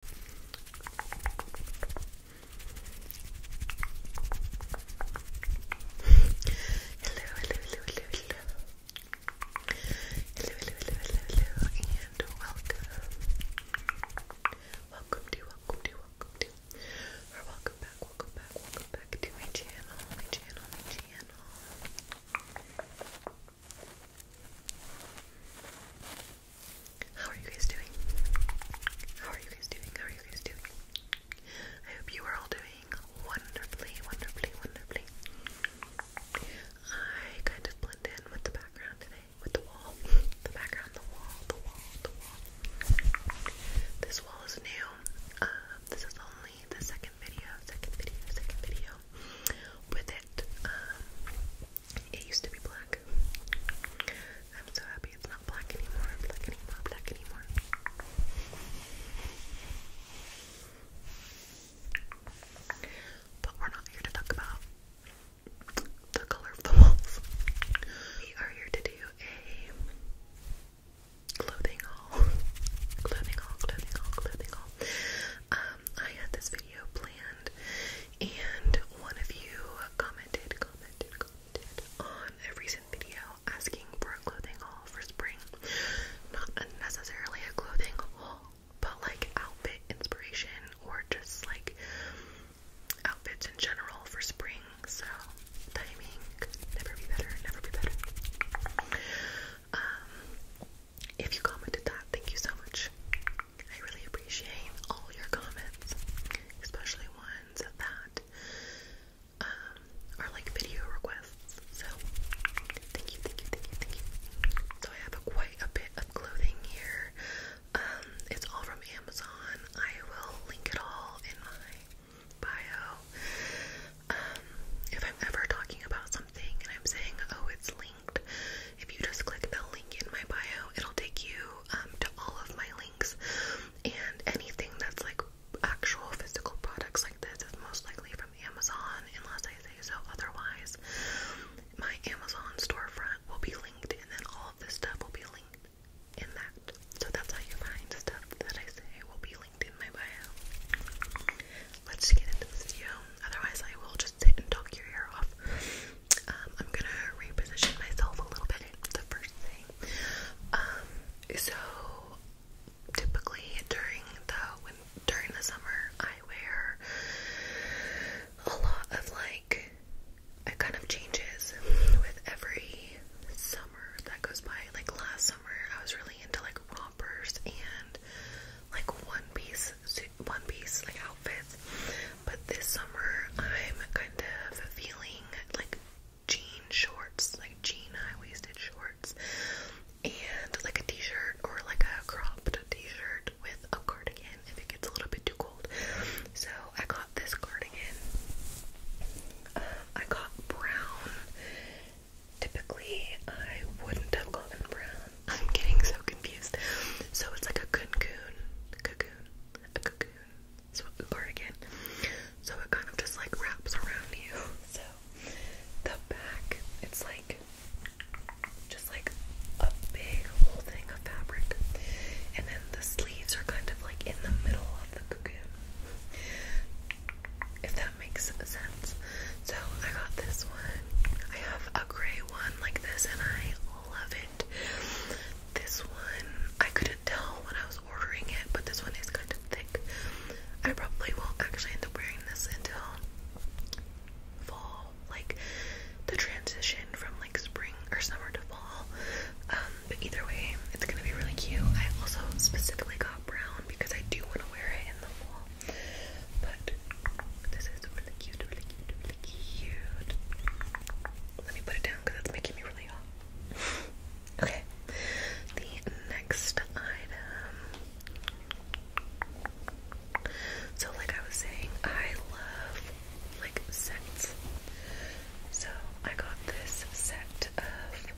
hello, hello, hello, hello. Hello, hello, hello, hello, hello, and welcome. Welcome to, welcome to, welcome to, or welcome back, welcome back, welcome back to my channel, my channel, my channel. How are you guys doing? How are you guys doing? How are you guys doing? I hope you are all doing wonderfully, wonderfully, wonderfully. I kind of blend in with the background today, with the wall, the background, the wall, the wall, the wall. This wall is new. Um, this is only the second video, second video, second video with it. Um, it used to be black. I'm so happy it's not black anymore, black anymore, black anymore. But we're not here to talk about the color of the walls. We are here to do a clothing haul. clothing haul, clothing haul, clothing haul. Um, I had this video planned, and one of you commented, commented, commented on a recent video asking for a clothing haul for spring. Not necessarily a clothing haul, but like outfit inspiration or just like outfits in general for spring. So timing never be better, never be better. Um, if you commented that, thank you so much. I really appreciate all your comments, especially ones that um, are like video requests. So, thank you, thank you, thank you, thank you. So, I have quite a bit of clothing here. Um, it's all from Amazon. I will link it all in my bio. Um, if I'm ever talking about something and I'm saying, oh, it's Lean if you just click the link in my bio, it'll take you um, to all of my links. And anything that's like actual physical products like this is most likely from Amazon, unless I say so otherwise. My Amazon storefront will be linked, and then all of this stuff will be linked in that. So that's how you find stuff that I say will be linked in my bio. Let's get into the video otherwise I will just sit and talk your hair off. Um, I'm gonna reposition myself a little bit. The first thing, um, so typically during the during the summer, I wear a lot of like it kind of changes with every summer that goes by. Like last summer, I was really into like rompers and like one piece suits one piece like outfits, but this summer I'm kind of feeling like jean shorts, like jean high waisted shorts, and like a t shirt or like a cropped t shirt with a cardigan if it gets a little bit too cold. So I got this cardigan. Um, I got brown. Typically, I wouldn't have gotten brown I'm getting so confused. So it's like a cocoon, cocoon, a cocoon. So cardigan. So it kind of just like wraps around you. So the back, it's like just like a big whole thing of fabric, and then the sleeves are kind of like in the middle of the cocoon. If that makes sense. So I got this one. I have a gray one like this, and I love it. This one, I couldn't tell when I was ordering it, but this one is kind of thick. I probably won't actually end up wearing this until fall, like the transition from like spring or summer to fall. Um, but either way, it's gonna be really cute. I also specifically got brown because I do want to wear it in the fall. But this is really cute, really cute, really cute. Let me put it down because it's making me really hot. Uh, okay. The next item. So, like I was saying, I love like sets. So I got this set of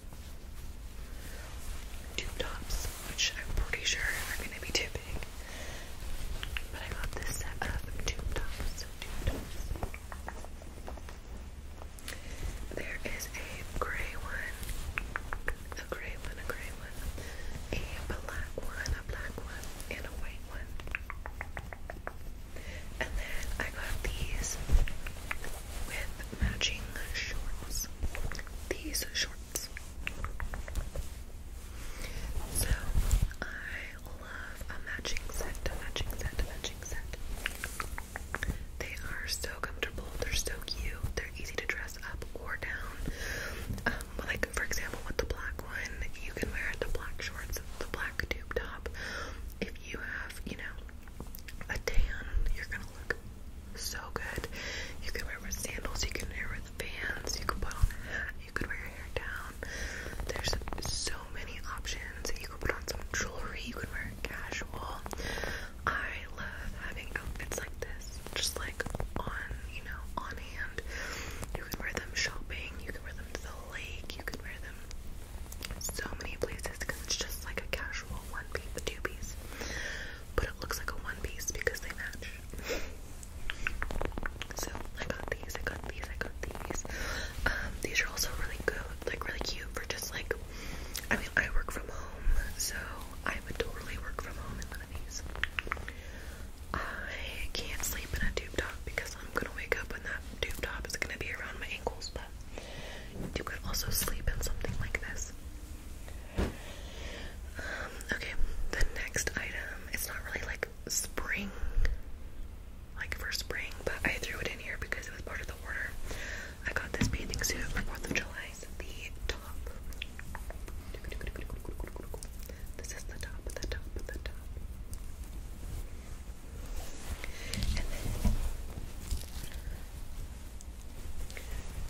tube tops, which I'm pretty sure are gonna be too big but I got this set of tube tops. Tube tops. There is a gray one, a gray one, a gray one, a black one, a black one, and a white one. And then I got these with matching shorts. These shorts. So I love a matching set, a matching set, a matching set. They are so comfortable, they're so cute, they're easy to dress up or down. Um, like for example with the black one, you can wear the black shorts, the black tube top. If you have, you know, a tan, you're gonna look so good. You can wear with sandals, you can wear with Vans, you can put on a hat, you could wear your hair down. There's so many options. You could put on some jewelry. You could wear it casual. I love having outfits like this, just like on, you know, on hand. You could wear them shopping. You could wear them to the lake. You could wear them so many places because it's just like a casual one piece, two piece. But it looks like a one piece because they match. So I got these, I got these, I got these. Um, these are also really good, like really cute for just like I mean I work from home, so I would totally work from home in one of these. I can't sleep in a tube top because I'm gonna wake up when that tube top is gonna be around my ankles, but you could also sleep in something like this. Um, okay, the next item, it's not really like spring, like for spring, but I threw it in here because it was part of the order. I got this bathing suit for 4th of July. the top. This is the top, the top, the top. And then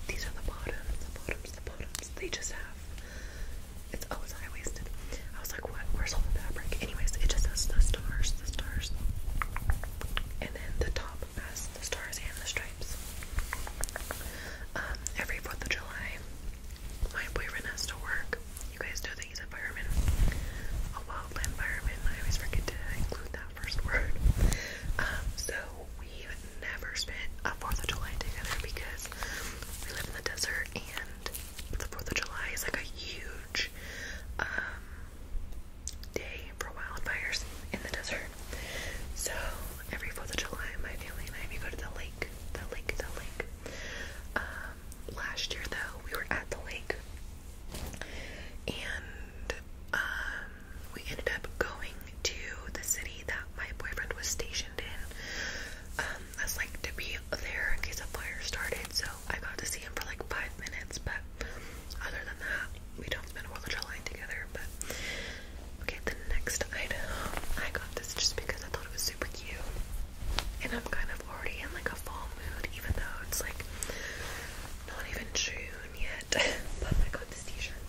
these are the bottoms, the bottoms, the bottoms. They just have it's always oh, high waisted. I was like, what? Where's all the fabric? Anyways, it just has the stars, the stars, and then the top has the stars and the stripes. Um, every Fourth of July, my boyfriend has to work. You guys know that he's a fireman, a wildland fireman. I always forget to include that first word. Um, so we have never spent a 4th of July together because we live in the desert and the 4th of July is like a huge um, day for wildfires in the desert. So every 4th of July, my family and I, we go to the lake, the lake, the lake. Um, last year though, we were at the lake and um, we ended up going to the city that my boyfriend was stationed stationed um, like to be there in case a fire started. So I got to see him for like five minutes, but other than that, we don't spend all the July together. But okay, the next item I got this just because I thought it was super cute, and I'm kind of already in like a fall mood, even though it's like not even June yet. but I got this T-shirt.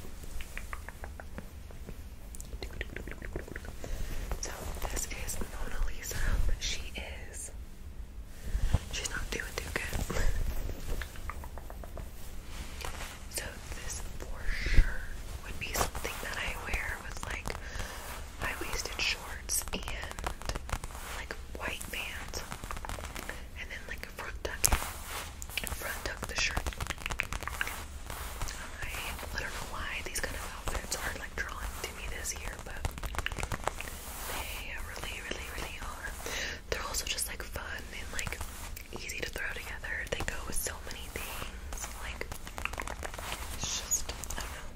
So this is Mona Lisa. She is. She's not doing too good. so this for sure would be something that I wear with like high-waisted shorts and like white pants, and then like a front tuck, front tuck the shirt. I don't know why these kind of outfits are like drawn to me this year, but they really, really, really are. They're also just like fun and like easy to throw together. They go with so many things. Like it's just I don't know.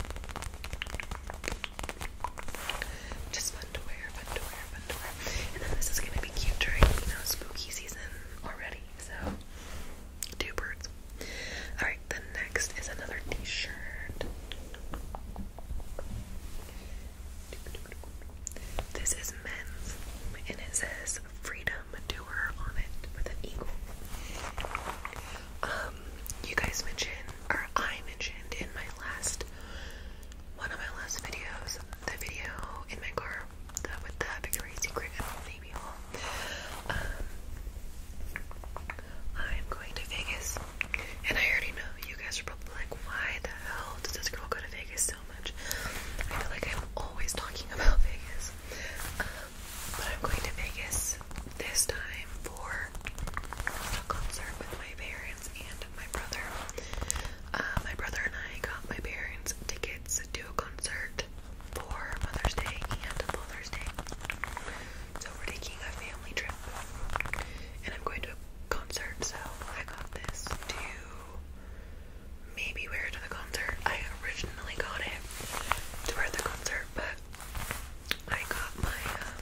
Just fun to wear, fun to wear, fun to wear. And then this is gonna be cute during, you know, spooky season already, so Two birds. Alright, the next is another t shirt. This is men's and it says Freedom Doer on it with an eagle. Um, you guys mentioned, or I mentioned in my last one of my last videos, the video in my car the, with the Victoria's Secret and the Navy Hall. Um, I'm going to Vegas, and I already know you guys are probably like, why the hell does this girl go to Vegas so much? I feel like I'm always talking about Vegas. Um, but I'm going to Vegas this time for a concert with my parents and my brother. Uh, my brother and I got my parents tickets to a concert for Mother's Day and Father's Day. So we're taking a family trip and I'm going to a concert, so I got this to maybe wear to the concert. I originally got it to wear at the concert, but I got my um,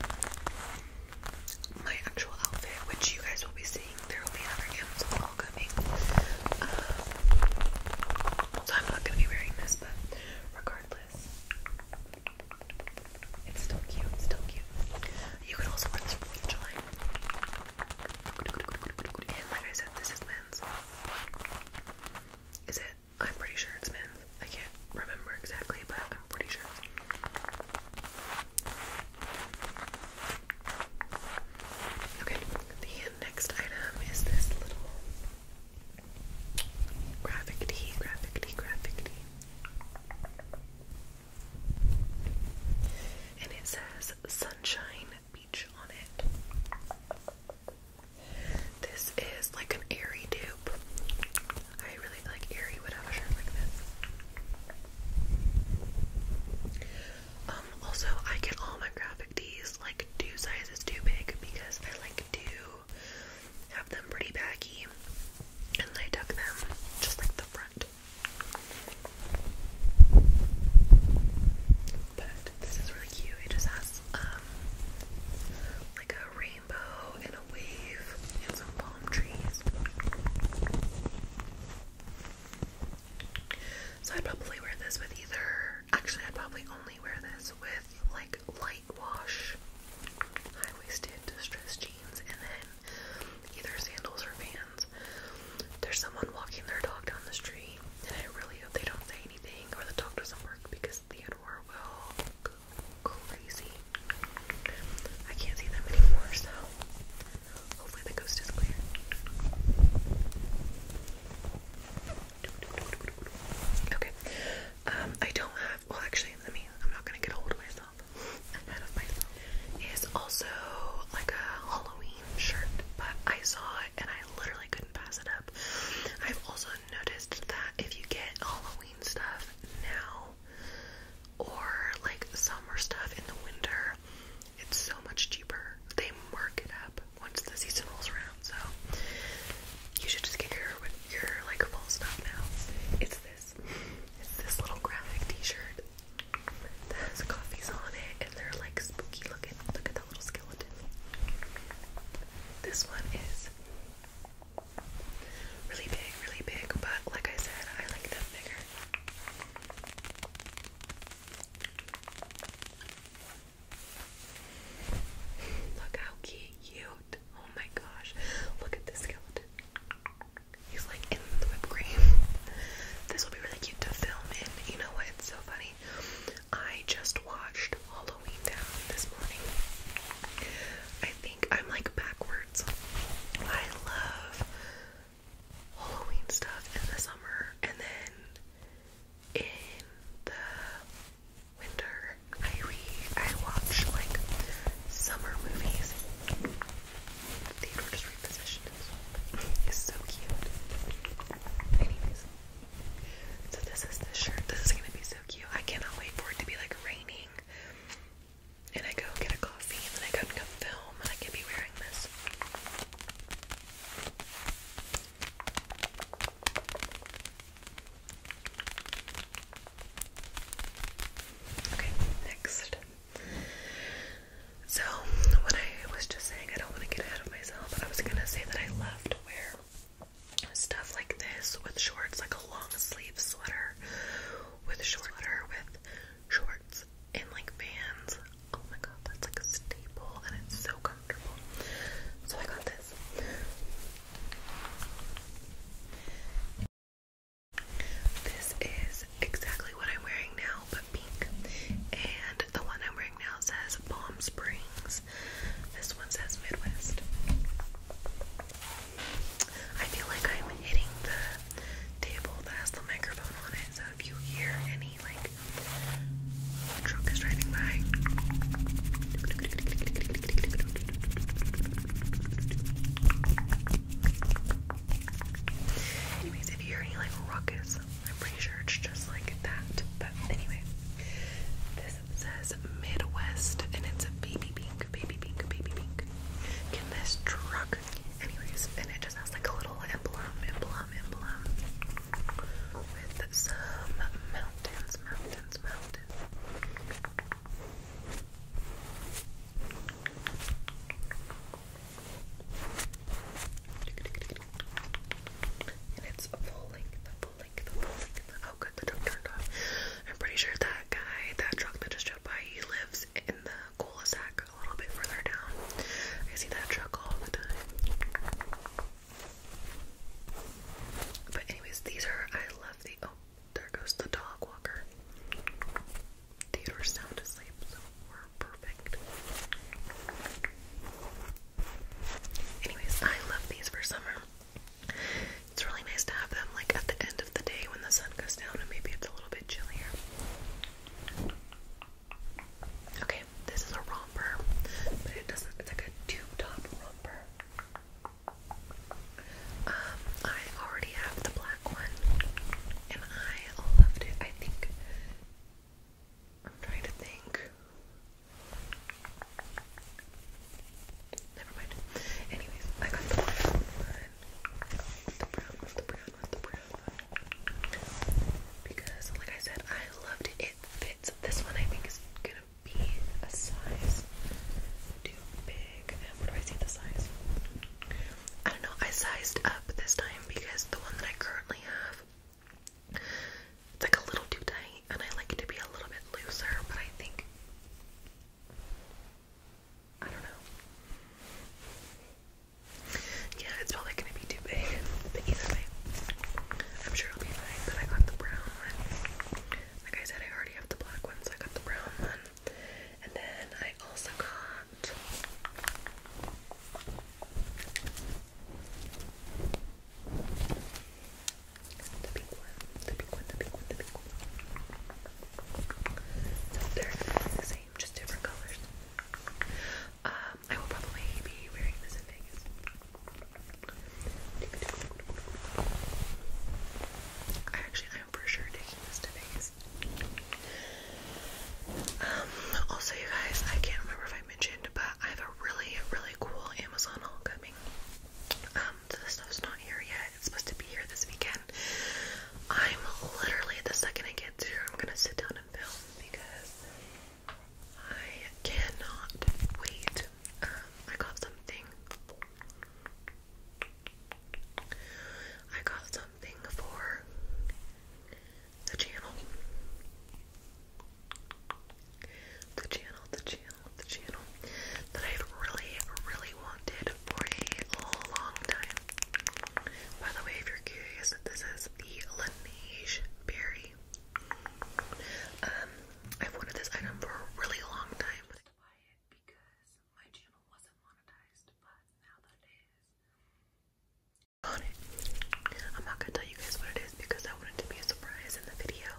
my actual outfit, which you guys will be seeing. There will be another Amazon all coming. Um, so I'm not gonna be wearing this, but regardless, it's still cute, it's still cute. You could also wear this for the And like I said, this is men's. Is it? I'm pretty sure it's men's. I can't remember exactly, but I'm pretty sure. Okay, the next item is this little graphic tee, graphic tee, graphic tee. And it says Sunshine Beach on it. This is like an airy dupe. I really like airy would have a shirt like this. Um, also, I get all my graphic tees like two sizes too big because I like to have them pretty baggy and I tuck them just like the front. But this is really cute. It just has um like a rainbow and a wave and some palm trees. So I'd probably wear this with either actually i probably only wear this with like light wash, high-waisted distressed jeans and then either sandals or Vans. There's someone walking their dog down the street and I really hope they don't say anything or the dog doesn't bark because Theodore will go crazy. I can't see them anymore so hopefully the coast is clear. Okay. Um, I don't have. Well, actually, let me. I'm not gonna get a hold of myself. I'm of myself. Is also like a Halloween shirt, but I saw it and I literally couldn't pass it up. I've also noticed that if you get Halloween stuff now or like summer stuff in the winter, it's so much cheaper. They mark it up once the season rolls around, so you should just get your your like full stuff now. It's this. It's this little graphic T-shirt that has coffees on it, and they're like spooky looking. Look at that little skeleton. This one is really big, really big, but like I said, I like them bigger. Look how cute. Oh my gosh. Look at this skeleton. He's like in the whipped cream. This will be really cute to film And You know what? It's so funny. I just watched Halloween Town this morning. I think I'm like backwards. I love Halloween stuff in the summer and then in the winter I read I watch like summer movies. Theodore just repositioned It's so cute. Anyways. So this is the shirt. This is gonna be so cute. I cannot wait for it to be like raining. And I go get a coffee and then I go and film and I can be wearing this. Okay, next. So, what I was just saying, I don't want to get ahead of myself, but I was gonna say that I love to wear stuff like this with shorts, like a long sleeve sweater with shorts, with shorts, and like Vans. Oh my god, that's like a staple and it's so comfortable. So I got this. This is exactly what I'm wearing now, but pink. And the one I'm wearing now says Palm Springs. This one says Midwest. I feel like I'm hitting the table that has the microphone on it, so if you hear any like truck driving by. Anyways, if you hear any like ruckus, I'm pretty sure it's just like that. But anyway, this says Midwest and it's a baby pink, baby pink, baby pink. Can this truck, anyways, and it just has like a little emblem, emblem, emblem with some mountains, mountains, mountains. And it's a full length, Oh, good, the truck turned off. I'm pretty sure that guy, that truck that just drove by, he lives in the cul de a little bit further down. I see that truck all the time. But anyways, these are I love the oh there goes the dog walker. Theodore's sound asleep, so we're perfect. Anyways, I love these for summer. It's really nice to have them like at the end of the day when the sun goes down and maybe it's a little bit chillier. Okay, this is a romper, but it doesn't. It's like a two top romper. Um, I already have the black one, and I loved it. I think. I'm trying to think. Never mind. Anyways, I got the black The brown, the brown, the brown because like I said, I loved it. fits. This one I think is gonna be a size too big. And do I see the size? I don't know. I sized up this time because the one that I currently have. It's like a little too tight, and I like it to be a little bit looser, but I think. I don't know. Yeah, it's probably gonna be too big, but either way, I'm sure it'll be fine. But I got the brown one. Like I said, I already have the black one, so I got the brown one. And then I also got the pink one, the pink one, the pink one, the pink one. they're exactly the same, just different colors. Um, I will probably be wearing this in Vegas. I actually, I'm for sure taking this to Vegas. Um, also, you guys, I can't remember if I mentioned, but I have a really, really cool Amazon haul coming. Um, the stuff's not here yet. It's supposed to be here this weekend. I'm literally the second I get here, I'm gonna sit down on a film because I cannot wait. Um, I got something. I got something for the channel. The channel, the channel, the channel that I've really, really wanted for a long time. By the way, if you're curious, this is the Laneige Berry. Um, I've wanted this item for a really long time. I am not gonna tell you guys what it is because I want to be a surprise in the video.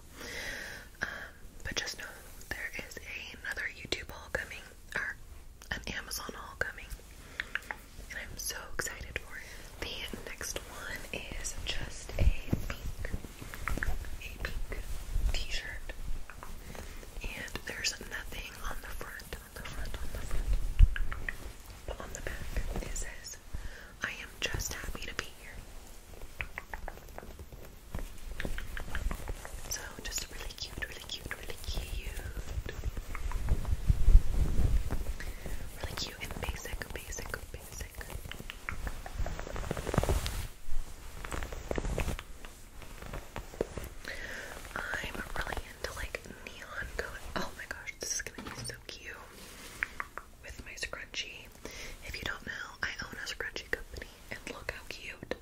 Um, but just know there is another YouTube haul coming, or an Amazon haul coming. I'm so excited for it. The next one is just a pink, a pink t-shirt. And there's nothing on the front, on the front, on the front. But on the back, it says, I am just happy to be here. So just really cute, really cute, really cute. Really cute and basic, basic, basic. I'm really into like neon color. Oh my gosh, this is gonna be so cute with my scrunchie. If you don't know, I own a scrunchie company and look how cute.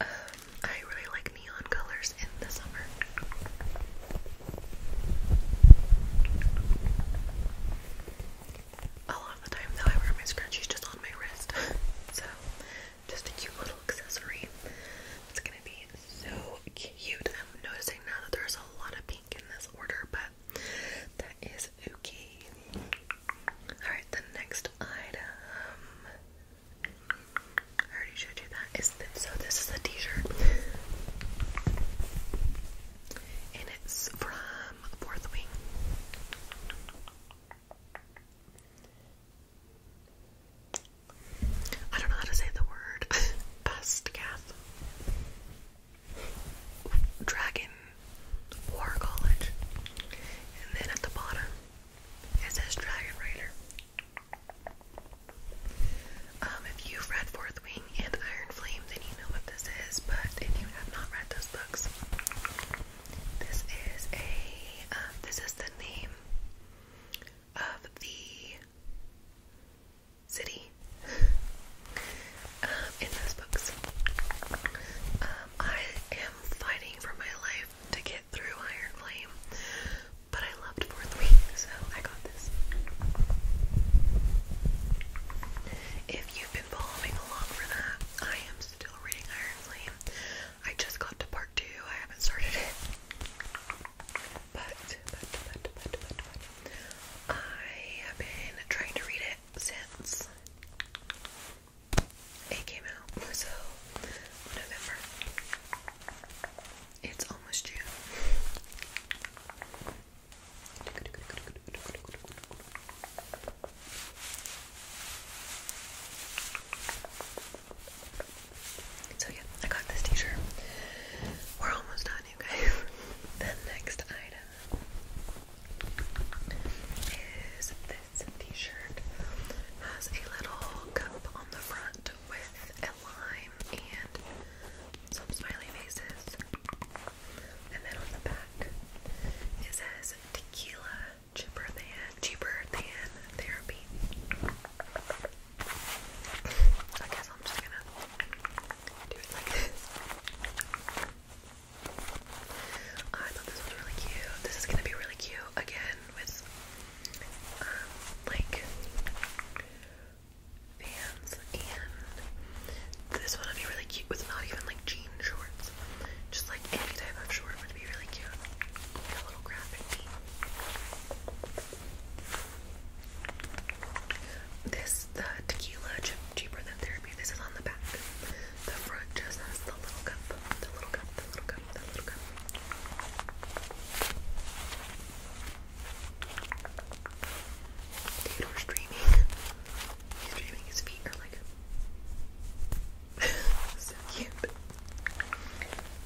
Um, I really like neon colors in the summer. A lot of the time, though, I wear my scrunchies just on my wrist, so just a cute little accessory. It's gonna be so cute. I'm noticing now that there's a lot of pink in this order, but that is okay. Alright, the next item I already showed you that. Is so this is a t-shirt. and it's from Fourth Wing. I don't know how to say the word. Best Dragon War College. And then at the bottom it says Dragon Rider. Um, if you've read Fourth Wing and Iron Flame, then you know what this is, but if you have not read those books, this is a, um, this is the name of the city um, in those books. I am fighting for my life to get through Iron Flame but I loved Fourth Week, so I got this. If you've been following along for that, I am still reading Iron Flame. I just got to part two, I haven't started it. but, I have been trying to read it since it came out, so November. It's almost June. So, yeah, I got this t shirt. We're almost done, you guys. the next item is this t shirt. Has a little cup on the front with lime and some smiley faces. And then on the back it says tequila cheaper than cheaper than therapy. I guess I'm just gonna do it like this. I thought this was really cute. This is gonna be really cute again with like fans and this one would be really cute with not even like jean shorts. Just like any type of short would be really cute. a little graphic. This the tequila cheaper than therapy. This is on the back. The front just has the little cup. The little cup. The little cup the dreaming. He's dreaming his feet are like so cute.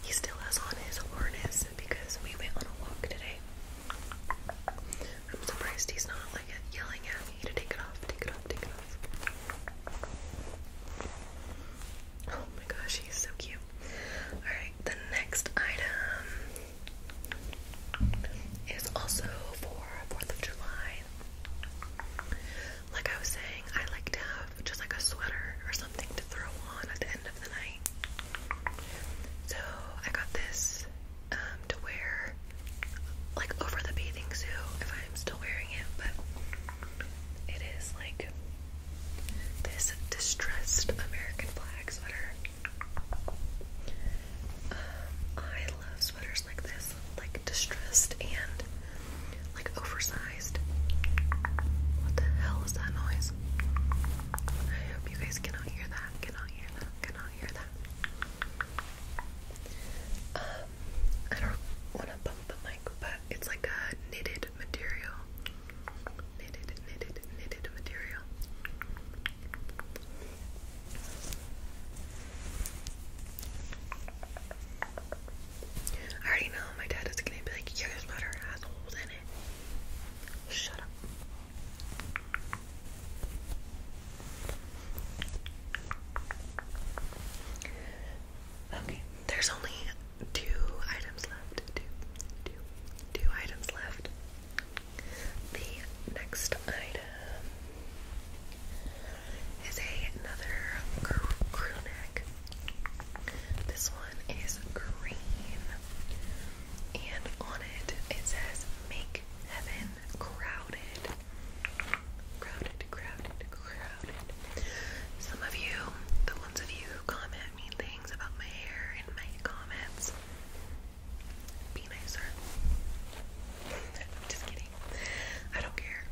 He still has on his harness because we went on a walk today. I'm surprised he's not like yelling at me to take it off, take it off, take it off. Oh my gosh, he's so cute. Alright, the next item is also for 4th of July. Like I was saying, I like to have just like a sweater or something to throw on at the end of the night. So I got this um, to wear like over the bathing suit if I'm still wearing it, but it is like this distressed American flag sweater. Um, I love sweaters like this, like distressed and like oversized. What the hell is that noise? I hope you guys cannot hear that, cannot hear that, cannot hear that. Um, I don't want to bump the mic, but it's like a knitted material. Knitted, knitted, knitted material. I already know my dad is gonna be like, your sweater has holes in it. Shut up. Okay, there's only two items left. Two, two, two items left. The next item is another crew, crew This one is green, and on it it says "Make Heaven Crowded." Crowded, crowded, crowded. Some of you, the ones of you who comment mean things about my hair in my comments. Be nicer. just kidding. I don't care.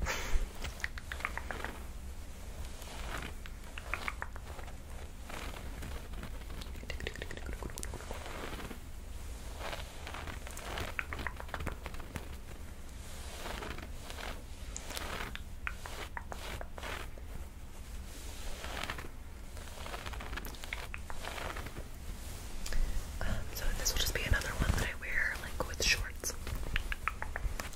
Um, so this will just be another one that I wear like with shorts.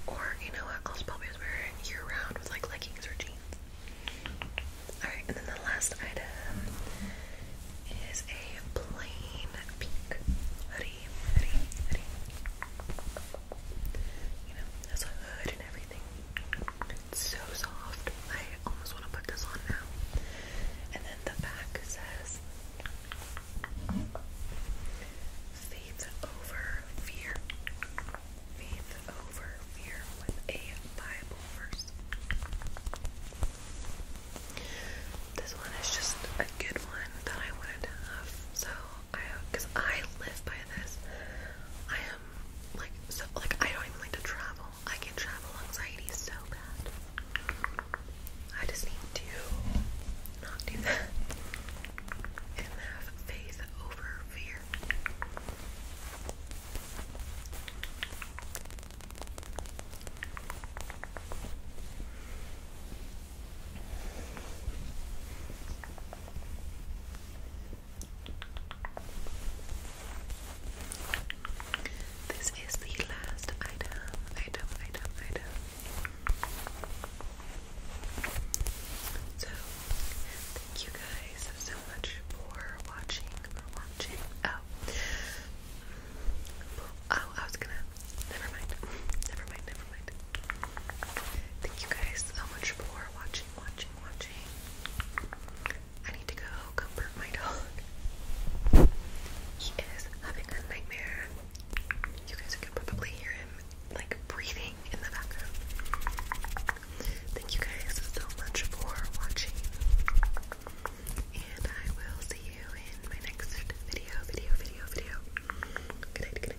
Or you know what, I'll probably just wear year round with like leggings or jeans. Alright, and then the last item is a plain pink hoodie you know, has a hood and everything. It's so soft. I almost want to put this on now. And then the back says Faith over fear. Faith over fear with a Bible verse. This one is just a good one that I wanted to have. So I because I live by this. I am like so like I don't even like to travel. I get travel anxiety so bad. I just need to not do that and have faith over fear. This is the last item, item, item, item. So, thank you guys so much for watching, for watching. Oh, oh, I was gonna. Never mind. Never mind. Never mind. Thank you guys so much for watching, watching, watching. I need to go comfort my dog. He is having a nightmare. You guys can probably hear him like breathing in the background. Thank you guys so much for watching. And I will see you in my next video, video, video, video. Good night,